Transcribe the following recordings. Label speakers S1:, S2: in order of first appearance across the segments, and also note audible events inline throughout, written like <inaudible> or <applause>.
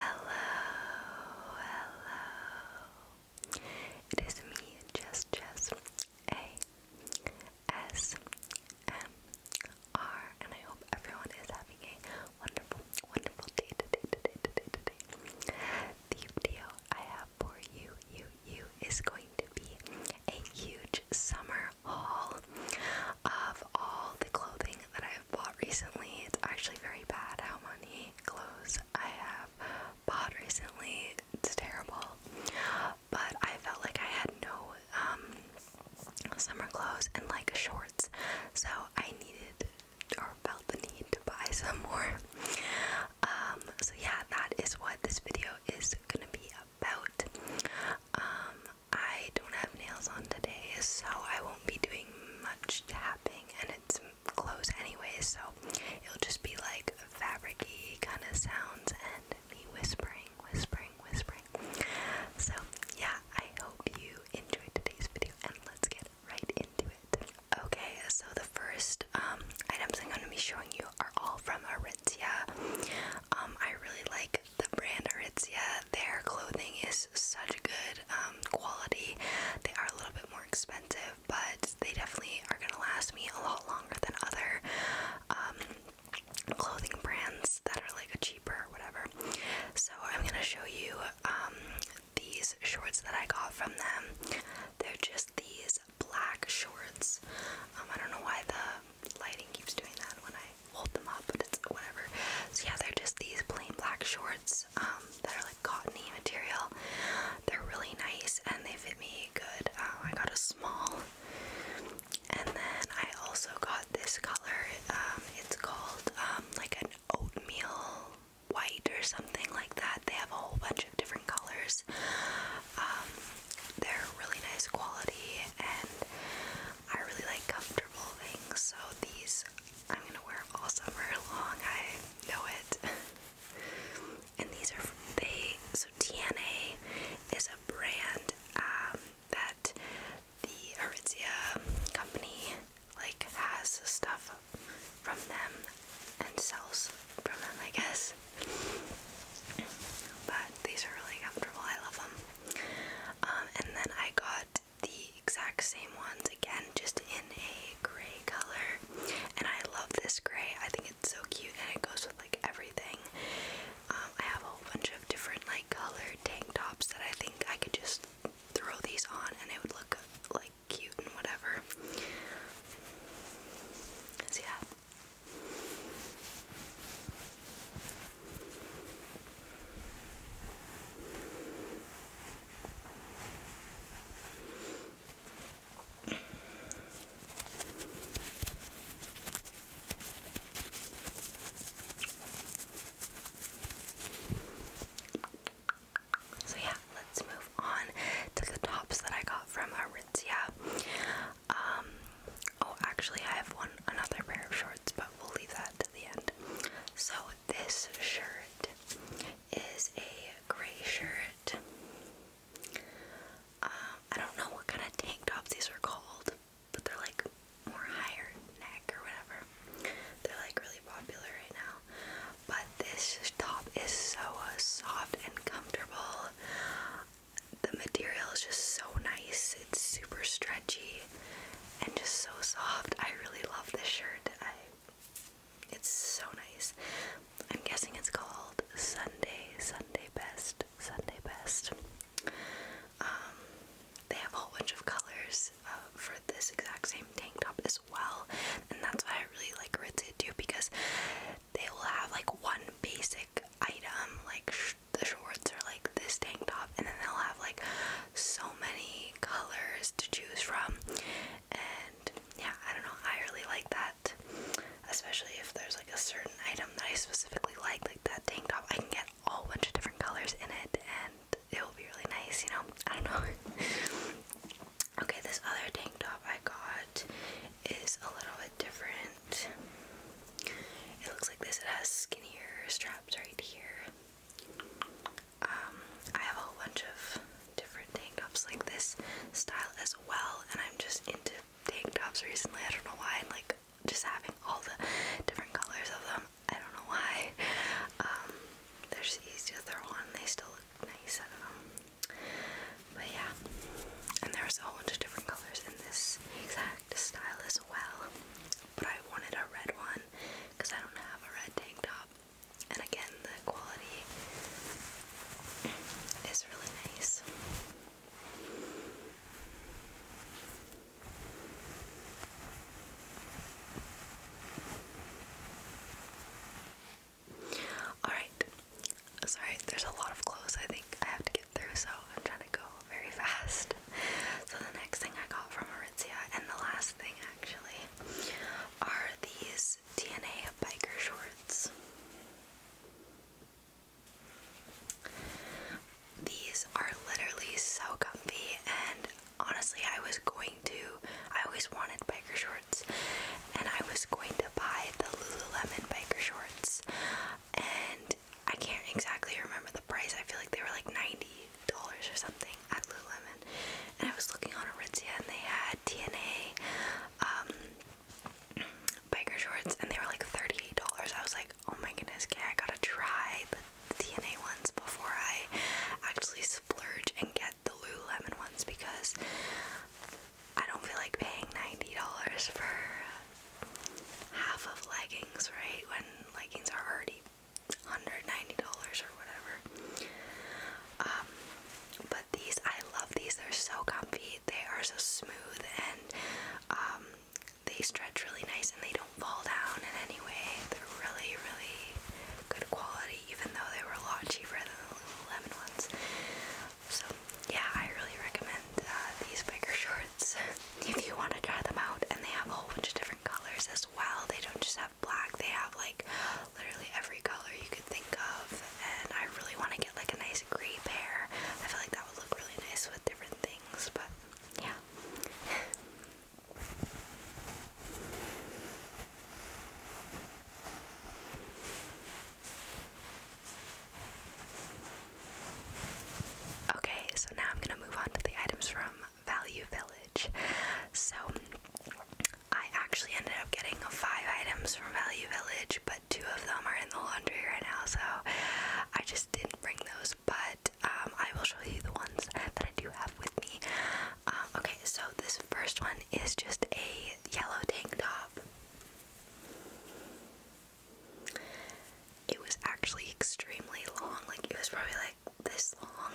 S1: Hello, hello. It is me, Jess Jess and I hope everyone is having a wonderful, wonderful day today, today, today, today. The video I have for you, you, you is going to be a huge summer haul of all the clothing that I i bought recently. It's actually very bad how many clothes I have bought recently. It's terrible. But I felt like I had no um, summer clothes and like shorts, so I needed or felt the need to buy <laughs> some more. Um, so yeah, that is what this video is gonna be about. Um, I don't have nails on today, so I won't be doing much tapping wrapping and it's clothes anyway, so it'll just be like fabricy kind of sounds and me whispering, whispering, whispering. So yeah, I hope you enjoyed today's video and let's get right into it. Okay, so the first um, items I'm gonna be showing you are all from Aritzia. Um, I really like the brand Aritzia their clothing is such good um, quality. They are a little bit more expensive, but they definitely are gonna last me a lot longer than other um, clothing brands that are like cheaper or whatever. So I'm gonna show you um, these shorts that I got from them. They're just these black shorts. I don't know why the lighting keeps doing that when I hold them up, but it's whatever. So yeah, they're just these plain black shorts. Um, that are like cottony material. They're really nice and they fit me good. Um, I got a small. And then I also got this color. Um, it's called like an oatmeal white or something like that. They have a whole bunch of different colors. they're really nice quality and I really like comfortable things. So these I'm gonna wear all summer long. I know it. <laughs> and these are they. So TNA is a brand um, that the Aritzia company like has stuff from them and sells from them, I guess. But these are really comfortable. I love them. Um, and then I got the exact same ones again, just in a gray color. And I love this gray, I think it's so cute and it goes with like everything. Um, I have a whole bunch of different like colored tank tops that I think I could just throw these on and it would look like cute and whatever. yeah. So yeah, let's move on to the tops that I got from Aritzia. Um, oh, actually, I have one another pair of shorts, but we'll leave that to the end. So this shirt is a gray shirt. Um, I don't know what kind of tank tops these are called, but they're like more higher neck or whatever. They're like really popular right now. But this top is so uh, soft and comfortable. The material is just so nice. It's super stretchy and just so soft. I really love this shirt. It's so nice. I'm guessing it's called Sunday, Sunday Best, Sunday Best. Um, they have a whole bunch of colors uh, for this exact same tank top as well, and that's why I really like Aritzia too because they will have like one basic item, like the shorts or like this tank top, and then they'll have like so many colors to choose from and yeah I don't know I really like that especially if there's like a certain item that I specifically like like that tank top I can get a whole bunch of different colors in it and it will be really nice you know I don't know <laughs> okay this other tank top I got is a little bit different it looks like this it has skinnier straps right here um, I have a bunch of different tank tops like this style as well, and I'm just into tank tops recently. I don't know why. I'm like just having all the different colors of them. I don't know why. Um, they're just easy to throw on. They still look nice. I don't um, But yeah, and there's a bunch of different colors in this exact style as well. But I wanted a red one because I don't have a red tank top. And again, the quality is really nice. Alright, sorry, there's a lot of clothes I think I have to get through, so I'm trying to go very <laughs> fast. So, the next thing I got from Aritzia, and the last thing actually, are these DNA biker shorts. These are literally so comfy, and honestly, I was going to, I always wanted biker shorts, and I was going to buy the Lululemon biker shorts, and I can't exactly remember the price. I feel like they were like 90 dollars or something at Lululemon, and I was looking on Aritzia, and they had DNA um, bikers shorts, and they were like thirty-eight dollars. I was like, oh my goodness, okay, I gotta try the DNA ones before I actually splurge and get the Lululemon ones because I don't feel like paying ninety dollars for half of leggings, right? When leggings are already $190 or whatever. Um, but these, I love these. They're so comfy. They are so smooth and um, they stretch really nice and they don't fall down in any way. They're really, really good quality, even though they were a lot cheaper than the Lululemon ones. So, yeah, I really recommend uh, these bigger shorts <laughs> if you want to try them out. And they have a whole bunch of different colors as well. They don't just have black, they have like literally every color you could think of. And I really want to get like a nice gray pair. I feel like that would look really nice with different things, but yeah. <laughs> Okay, so now I'm gonna move on to the items from Value Village. So I actually ended up getting five items from Value Village, but two of them are in the laundry right now, so I just didn't bring those. But um, I will show you the ones that I do have with me. Um, okay, so this first one is just a yellow tank top. It was actually extremely long, like it was probably like this long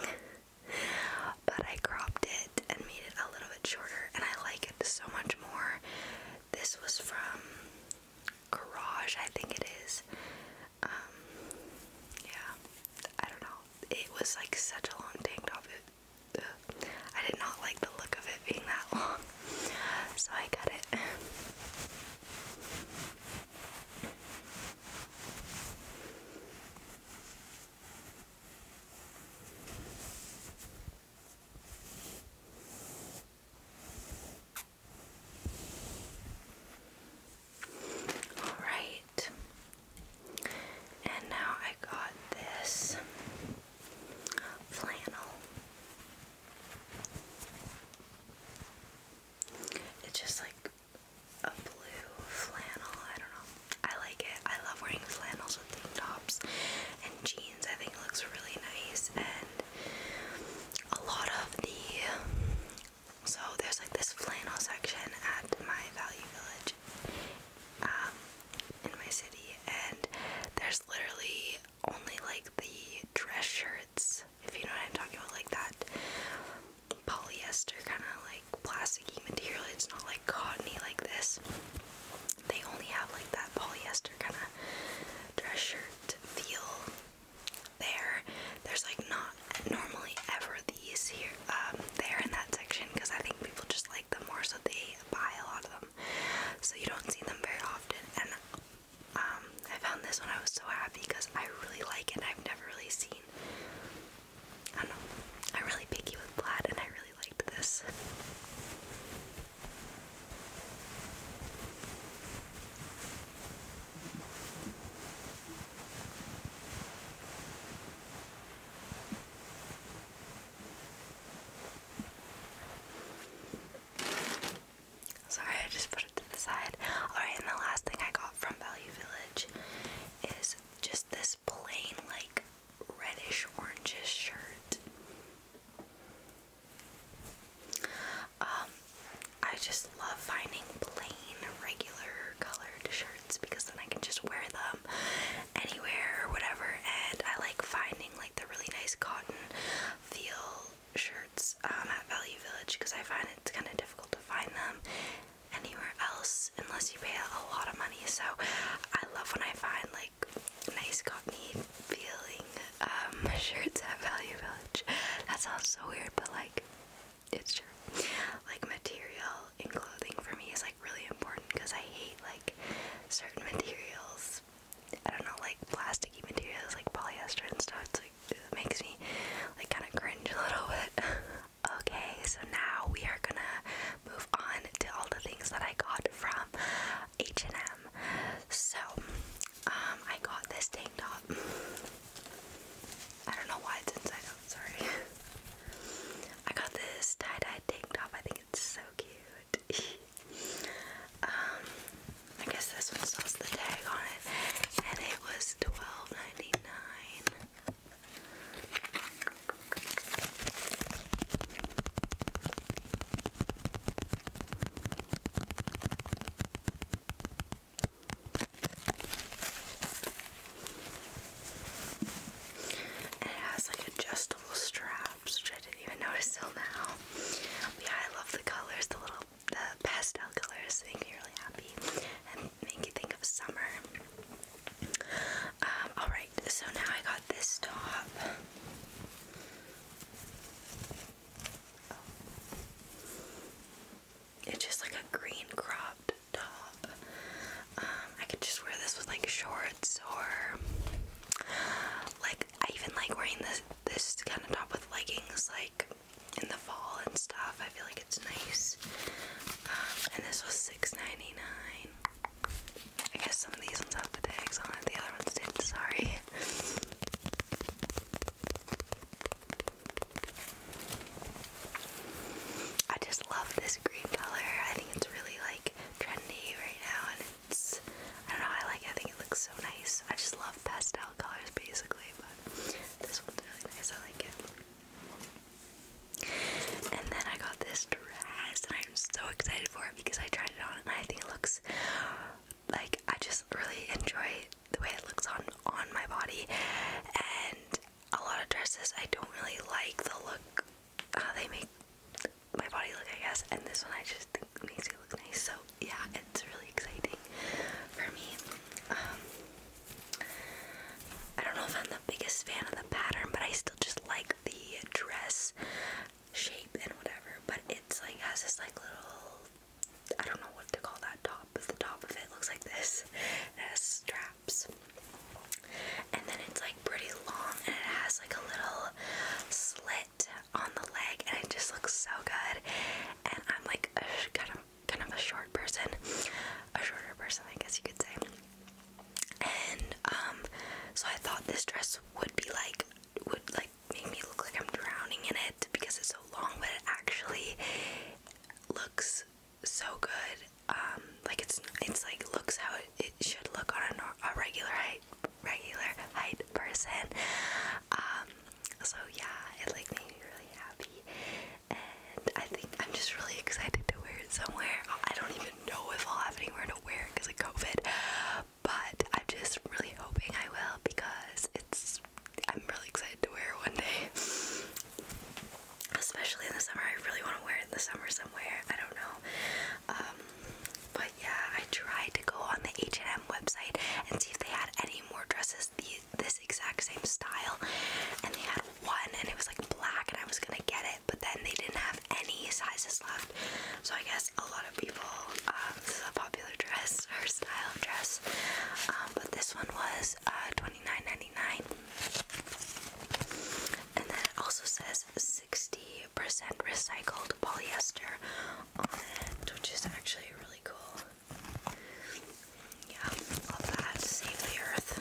S1: but I cropped it and made it a little bit shorter, and I like it so much more. This was from Garage, I think it is. Um, yeah, I don't know. It was like such a long tank top. I did not like the look of it being that <laughs> long, so I cut it. All right, and now I got this flannel. It's just like a blue flannel. I don't know. I like it. I love wearing flannels with tank tops and jeans. I think it looks really nice. And a lot of the so there's like this flannel section at my Value Village um, in my city, and there's literally only like the dress shirts, if you know what I'm talking about, like that polyester kind of like plasticky material. It's not like cottony like this. They only have like that polyester kind of dress shirt feel there. There's like not normally ever these here um, there in that section because I think people just like them more, so they buy a lot of them. So you don't see them very often. And um, I found this one. I was so happy because I really like it. I've never really seen I know. I'm really picky with plaid, and I really liked this. Sorry, I just put it to the side. Alright, and the last thing I got from Value Village is just this plain, like reddish orange shirt. Um, I just love finding plain, regular colored shirts because then I can just wear them anywhere or whatever. And I like finding like the really nice cotton feel shirts um, at Value Village because I find it's kind of difficult to find them anywhere else unless you pay a lot of money. So I love when I find like nice cottony feeling um, <laughs> shirts at Value Village. That sounds so weird, but like it's true. Like material in clothing for me is like really important because I hate like certain materials. I don't know, like plasticky materials like polyester and stuff. it makes me like kind of cringe a little bit. <laughs> Okay, so now we are gonna move on to all the things that I got from H&M. So, um, I got this tank top. I don't know why it's inside out. Sorry. I got this tie-dye tank top. I think it's so cute. <laughs> um, I guess this one still has the tag on it, and it was $12.99. It has like adjustable straps, which I didn't even notice till now. Yeah, I love the colors, the little the pastel colors. They make me really happy make you think of summer. Um, alright, so now I got this top. Oh. It's just like a green cropped top. Um, I could just wear this with like shorts or like I even like wearing this this kind of top with leggings like in the fall and stuff. I feel like it's nice. Um, and this was 6 I guess some of these ones have tags on it, the other ones didn't, sorry. I just love this green color. I think it's really like trendy right now and it's I don't know, I like I think it looks so nice. I just love pastel colors basically, but this one's really nice. I like it. And then I got this dress, and I'm so excited for it because I tried it on, and I think it looks like I just really enjoy the way it looks on on my body. And a lot of dresses, I don't really like the look they make my body look, I guess. And this one, I just makes it look nice. So yeah, it's really exciting for me. Um, I don't know if I'm the biggest fan of the pattern, but I still just like the dress shape and whatever. But it's like has this like little I don't know what to call that top, but the top of it looks like this. It has straps. And then it's like pretty long and it has like a little slit on the leg and it just looks so good. And I'm like kind of kind of a short person, a shorter person, I guess you could say. And um, so I thought this dress would be like, would like make me look like I'm drowning in it because it's so long, but it actually looks so good. Um, like it's it's like looks how it, should look on a, a regular height regular height person. Um, so yeah, it like made me really happy, and I think I'm just really excited to wear it somewhere. I don't even know if I'll have anywhere to wear it because of COVID, but I'm just really hoping I will because it's. I'm really excited to wear it one day, especially in the summer. I really want to wear it in the summer somewhere. I don't know, um, but yeah, I tried to go on the H&M website and see if they had any more dresses this exact same style, and they had one, and it was like black, and I was gonna get it, but then they didn't have any sizes left. So I guess a lot of people, um, this is a popular dress her <laughs> style of dress, um, but this one was uh, twenty nine ninety nine, and then it also says sixty percent recycled polyester on it, which is actually really cool. Yeah, love that. Save the earth.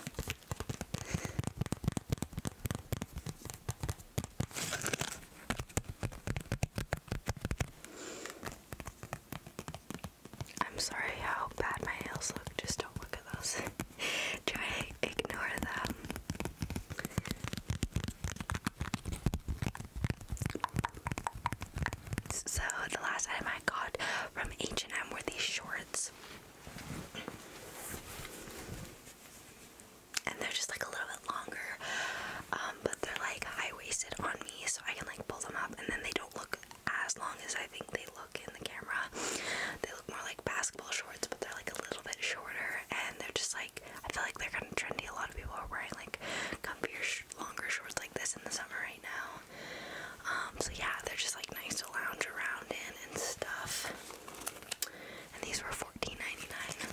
S1: I'm sorry how bad my nails look. Just don't look at those. <laughs> Try ignore them. So, the last item I I got from H&M were these shorts. And they're just like a little bit longer, um, but they're like high-waisted on me, so I can like pull them up, and then they don't look as long as I think they look in the camera. They look more like basketball shorts, but they're like a little bit shorter, and they're just like I feel like they're kind of trendy. A lot of people are wearing like longer shorts like this in the summer right now. Um, so yeah, they're just like nice to lounge around in and stuff. And these were $14.99.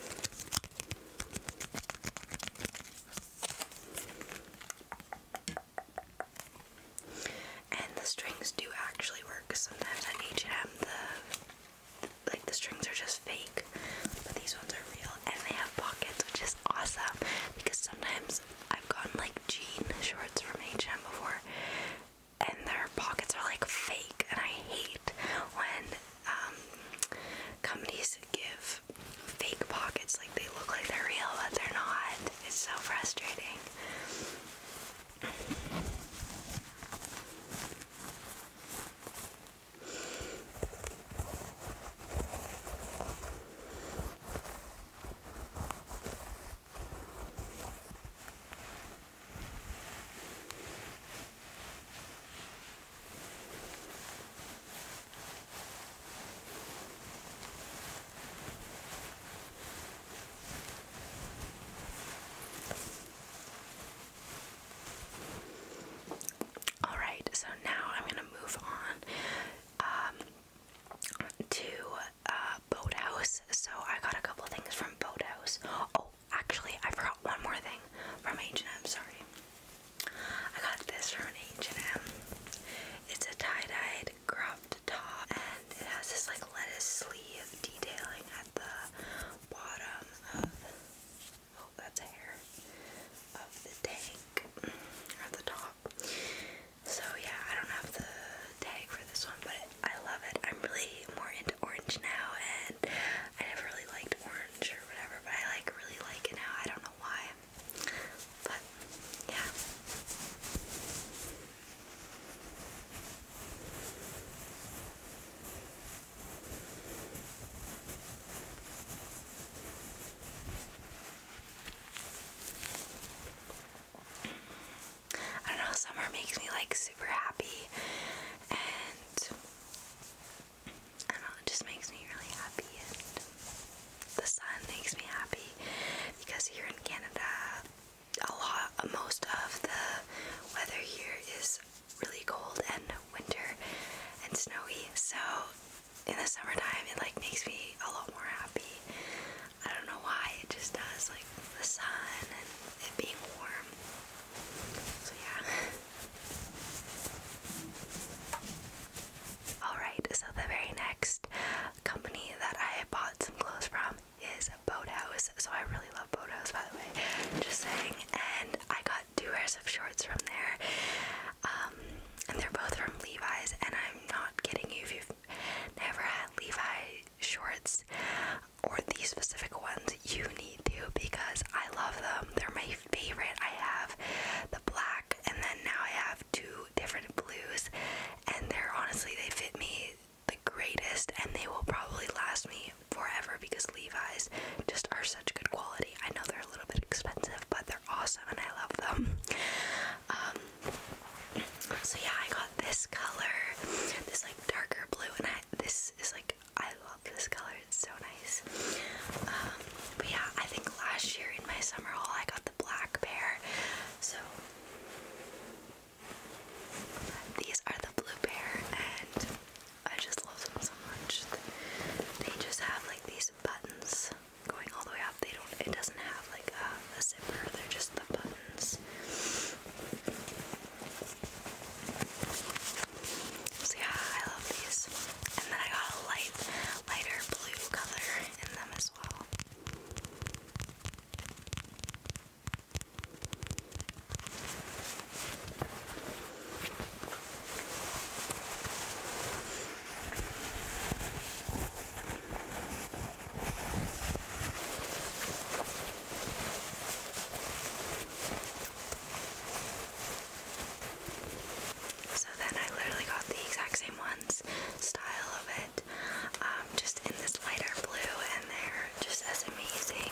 S1: And the strings do actually work. Sometimes at H&M, the like the strings are just fake, but these ones are real, and they have pockets, which is awesome because sometimes I've gotten like jean shorts from H&M before, and their pockets are like fake, and I hate when um, companies give fake pockets, like they look like they're real, but they're not. It's so frustrating. All right, so now I'm going to move on. Um, to uh, boat house, so I got a couple things from boat house. Oh, actually, I forgot one more thing from H&M. Sorry, I got this from H&M. It's a tie-dyed cropped top, and it has this like lettuce sleeve detailing at the bottom of. Oh, that's hair of the tank or the top. So yeah, I don't have the tag for this one, but I love it. I'm really more into orange now, and I never really liked orange or whatever, but I like really like it now. I don't know why, but yeah. I don't know, summer makes me like super happy and I don't know, it just makes me really happy and the sun makes me happy because here in Canada a lot most of the weather here is really cold and winter and snowy so in the summertime it like makes me a lot more happy I don't know why, it just does, like the sun and it being warm. So, yeah. <laughs> Alright, so the very next company that I bought some clothes from is Boathouse. So, I really love Boathouse, by the way. Just saying. And I got two pairs of shorts from there. Um, and they're both from Levi's, and I'm not kidding you if you never had Levi shorts or these specific ones, you need to because I love them. They're my favorite. I have the black and then now I have two different blues and they're honestly they fit me the greatest and they will probably last me forever because Levi's just are such good quality. I know they're a little bit expensive, but they're awesome and I love them. Um, so yeah, I got this color, this like darker blue, and I this is like I love this color. It's so nice. Um, but yeah, I think last year in my summer haul I got the black pair. So these are the blue pair, and I just love them so much. They just have like these buttons going all the way up. They don't. It doesn't have like a, zipper. They're just the buttons. yeah, I love these. And then I got a light, lighter blue color in them as well. So then I literally got the exact same ones, style of it, um, just in this lighter blue, and they're just as amazing.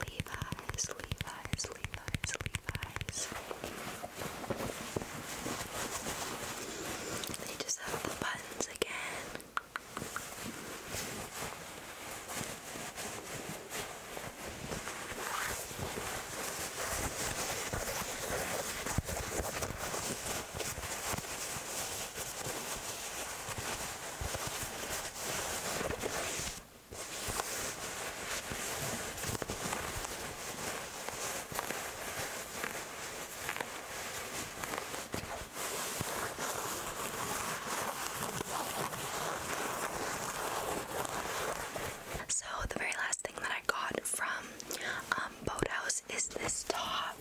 S1: Levi's, Levi's, Levi's, Levi's. They just have the buttons again. So the very last thing that I got from um, Boathouse is this top,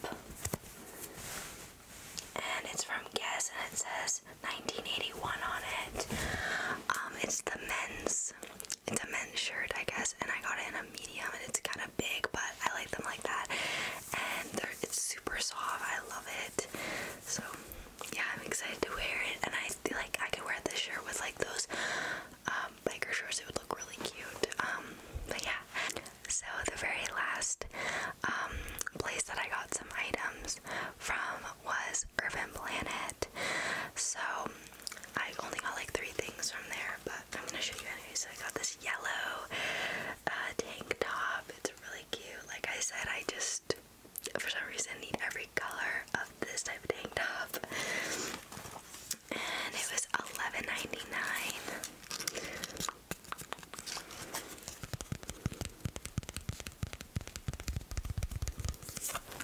S1: and it's from Guess, and it says 1981 on it. Um, it's the men's it's a men's shirt, I guess, and I got it in a medium, and it's kind of big, but I like them like that, and they're, it's super soft. I love it. So yeah, I'm excited to wear it, and I feel like I could wear this shirt with like those um, biker shorts. It would look really cute. Um, but yeah. So the very last um, place that I got some items from was Urban Planet. So I only got like three things from there, but I'm gonna show you anyway. So I got this yellow uh, tank top. It's really cute. Like I said, I just for some reason need every color of this type of tank top. And it was $11.99.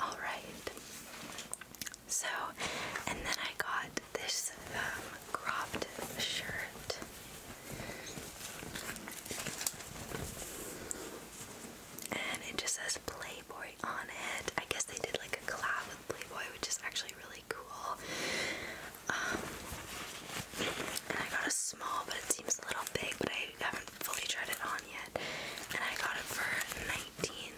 S1: All right. So, and then I got this um, cropped shirt. And it just says Playboy on it. I guess they did like a collab Playboy, which is actually really cool. Um, and I got a small, but it seems a little big, but I haven't fully tried it on yet. And I got it for 19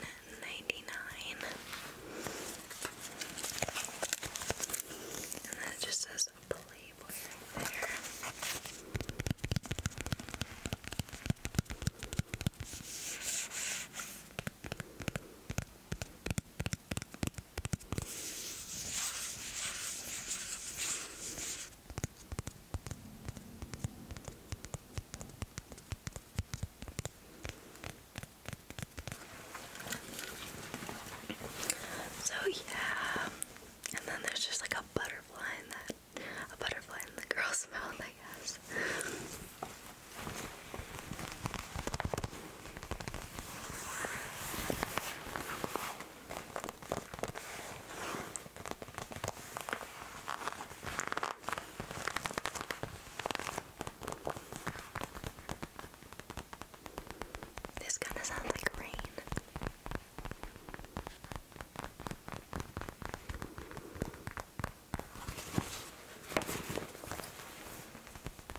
S1: And it just says Playboy there. So yeah, and then there's just like a butterfly in that, a butterfly in the girl's <laughs> mouth, I guess. This kind of sounds like rain.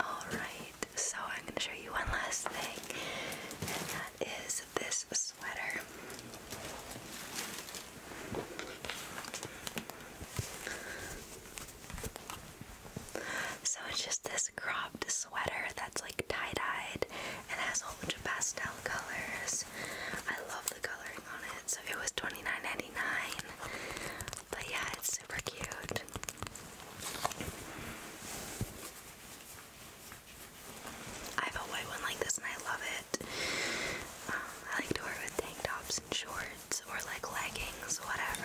S1: Alright, so I'm going to show you one last thing, and that is this sweater. So it's just this cropped sweater that's like tie dyed and has a whole bunch of pastel colors. I love the coloring on it, so it was $29.99. But yeah, it's super cute. I have a white one like this and I love it. Um, I like to wear with tank tops and shorts or like leggings, whatever.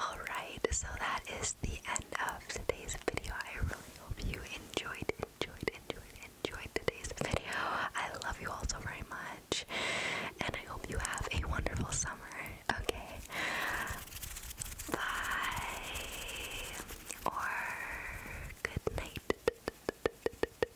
S1: Alright, so that is the end of today's video. I really hope you enjoyed, enjoyed, enjoyed, enjoyed today's video. I love you all so very much, and I hope you have a wonderful summer. Okay, bye or good night.